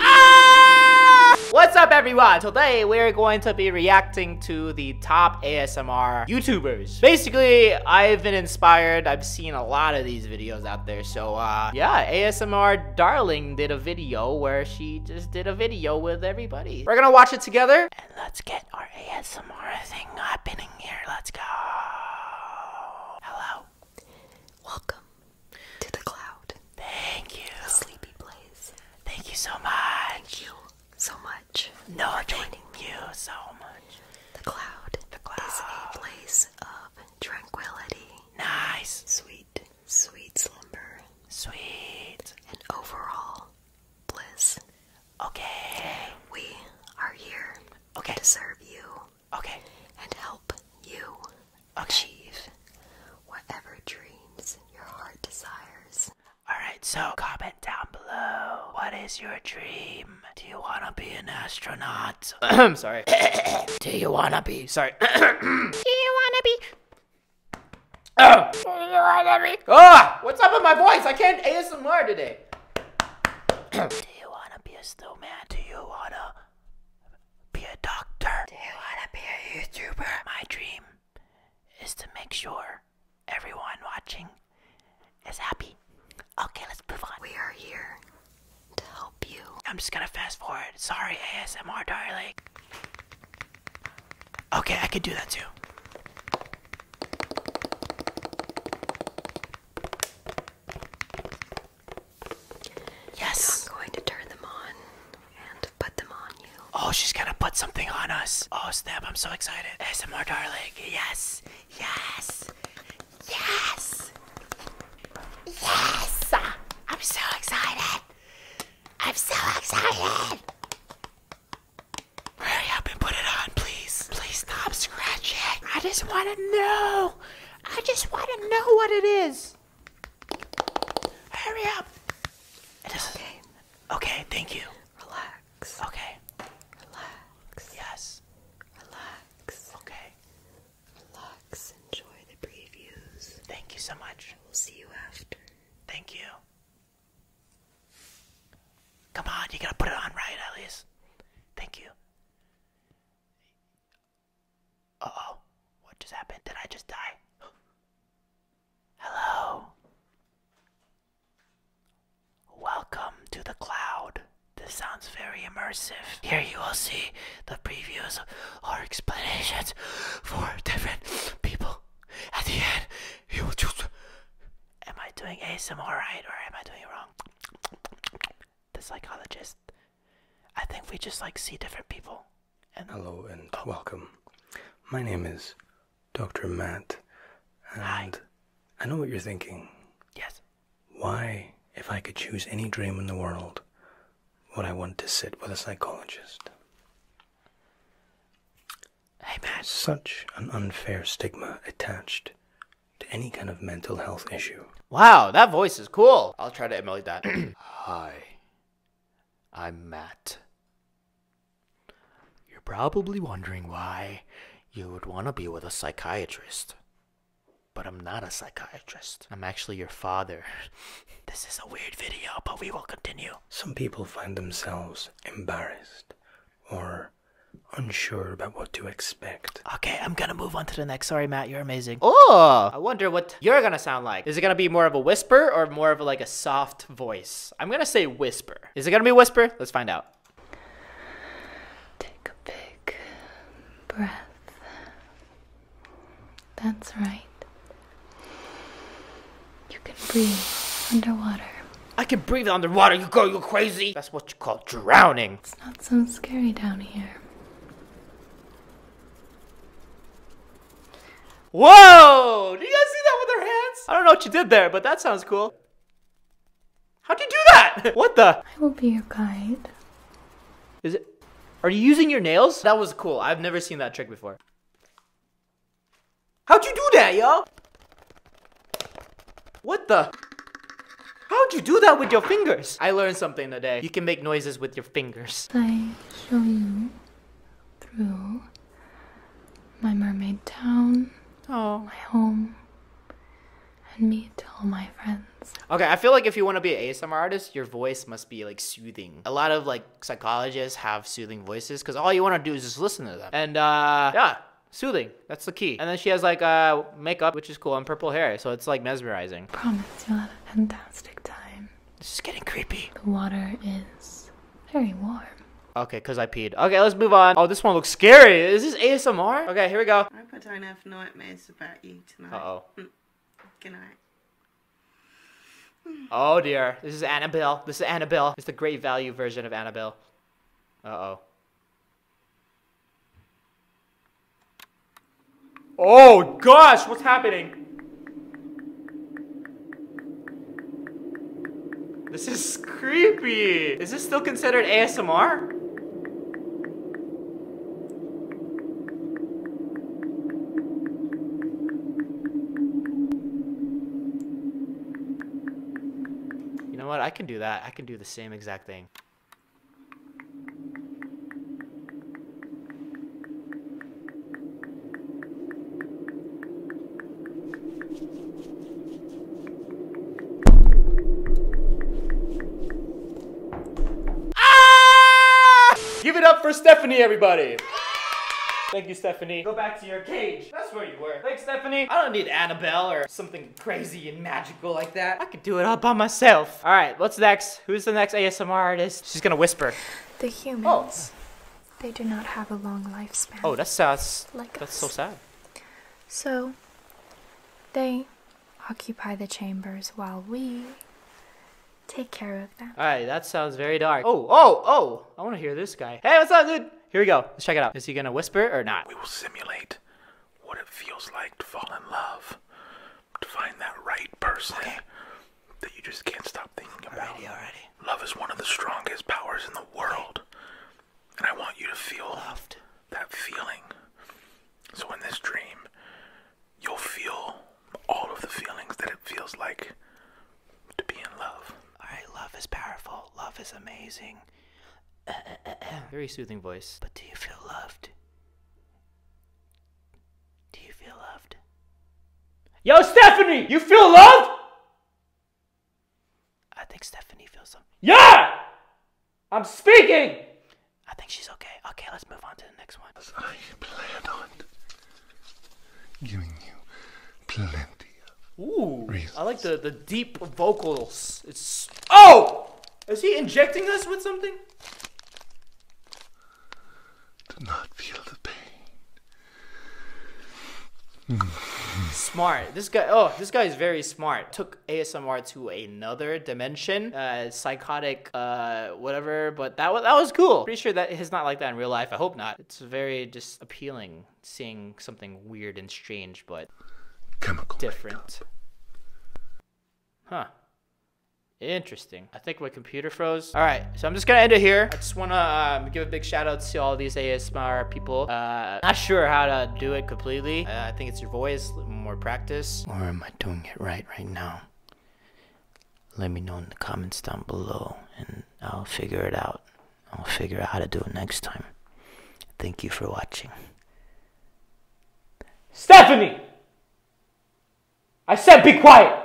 Ah! What's up everyone? Today we're going to be reacting to the top ASMR YouTubers. Basically, I've been inspired. I've seen a lot of these videos out there. So uh, yeah, ASMR Darling did a video where she just did a video with everybody. We're gonna watch it together and let's get our ASMR thing happening here. Let's go. Hello. Welcome to the cloud. Thank you. sleepy place. Thank you so much. Thank you so much. No, joining you so much. The cloud, is a place of tranquility. Nice. Sweet, sweet slumber. Sweet. And overall bliss. Okay. We are here okay. to you. Okay. And help you achieve whatever dreams your heart desires. Alright, so comment down below. What is your dream? Do you want to be an astronaut? sorry. Do you want to be? Sorry. Do you want to be? Oh! Do you want to be? Ah! What's up with my voice? I can't ASMR today. Do you want to be a snowman? Do you want to? be a doctor. Do you want to be a YouTuber? My dream is to make sure everyone watching is happy. Okay, let's move on. We are here to help you. I'm just gonna fast forward. Sorry, ASMR darling. Okay, I could do that too. Yes. I'm going to turn them on and put them on you. Oh, she's gonna put something on us. Oh snap, I'm so excited. S. M. R. darling. Yes. Yes. Yes. Yes. I'm so excited. I'm so excited. Hurry up and put it on, please please, please stop scratching. I just want to know. I just want to know what it is. Hurry up. It's okay. Okay, thank you. Relax. Okay. Relax. Yes. Relax. Okay. Relax. Enjoy the previews. Thank you so much. We'll see you after. Thank you. Come on, you gotta put it on right at Thank you. Uh oh. What just happened? Did I just die? Hello. Welcome to the cloud. This sounds very immersive. Here you will see the previews or explanations for different people. At the end, you will choose. Am I doing ASMR right or am I doing wrong? the psychologist. I think we just like see different people. And Hello and welcome. My name is Dr. Matt. And I know what you're thinking. Yes. Why, if I could choose any dream in the world, would I want to sit with a psychologist? Hey man. Such an unfair stigma attached to any kind of mental health issue. Wow, that voice is cool. I'll try to emulate that. Hi, I'm Matt. You're probably wondering why you would want to be with a psychiatrist. But I'm not a psychiatrist. I'm actually your father. this is a weird video, but we will continue. Some people find themselves embarrassed or unsure about what to expect. Okay, I'm gonna move on to the next. Sorry, Matt, you're amazing. Oh, I wonder what you're gonna sound like. Is it gonna be more of a whisper or more of like a soft voice? I'm gonna say whisper. Is it gonna be whisper? Let's find out. Take a big breath. That's right. You can breathe underwater. I can breathe underwater, you go, you crazy! That's what you call drowning! It's not so scary down here. Whoa! Did you guys see that with her hands? I don't know what you did there, but that sounds cool. How'd you do that? what the? I will be your guide. Is it? Are you using your nails? That was cool. I've never seen that trick before. How'd you do that, yo? What the? How'd you do that with your fingers? I learned something today. You can make noises with your fingers. I show you through my mermaid town, oh. my home, and meet all my friends. Okay, I feel like if you want to be an ASMR artist, your voice must be like soothing. A lot of like psychologists have soothing voices because all you want to do is just listen to them. And uh, yeah, soothing. That's the key. And then she has like uh, makeup, which is cool, and purple hair, so it's like mesmerizing. Promise you'll have a fantastic time. This is getting creepy. The water is very warm. Okay, because I peed. Okay, let's move on. Oh, this one looks scary. Is this ASMR? Okay, here we go. I hope I don't have nightmares about you tonight. oh Mm. Good night. Oh dear. This is Annabelle. This is Annabelle. It's the great value version of Annabelle. Uh-oh. Oh gosh, what's happening? This is creepy. Is this still considered ASMR? You know what? I can do that. I can do the same exact thing. Ah! Give it up for Stephanie, everybody! Thank you, Stephanie. Go back to your cage. That's where you were. Thanks, Stephanie. I don't need Annabelle or something crazy and magical like that. I could do it all by myself. All right, what's next? Who's the next ASMR artist? She's gonna whisper. The humans. Oh. They do not have a long lifespan. Oh, that's so sad. So, they occupy the chambers while we take care of them. All right, that sounds very dark. Oh, oh, oh! I want to hear this guy. Hey, what's up, dude? Here we go. Let's check it out. Is he gonna whisper or not? We will simulate what it feels like to fall in love, to find that right person that you just can't stop thinking about. Alrighty, alrighty. Love is one of the strongest powers in the world, and I want you to feel loved. That feeling. So in this dream, you'll feel all of the feelings that it feels like to be in love. All right, love is powerful. Love is amazing. Very soothing voice. But do you feel loved? Do you feel loved? Yo, Stephanie, you feel loved? I think Stephanie feels something. Yeah! I'm speaking! I think she's okay. Okay, let's move on to the next one. I plan on giving you plenty of Ooh, I like the, the deep vocals. It's Oh! Is he injecting us with something? To not feel the pain. smart. This guy, oh, this guy is very smart. Took ASMR to another dimension. Uh, psychotic uh whatever. But that was that was cool. Pretty sure that is not like that in real life. I hope not. It's very just appealing seeing something weird and strange, but Chemical different. Huh. Interesting. I think my computer froze. All right, so I'm just gonna end it here. I just wanna um, give a big shout out to all these ASMR people. Uh, not sure how to do it completely. Uh, I think it's your voice, more practice. Or doing it right right now? Let me know in the comments down below and I'll figure it out. I'll figure out how to do it next time. Thank you for watching. Stephanie! I said be quiet!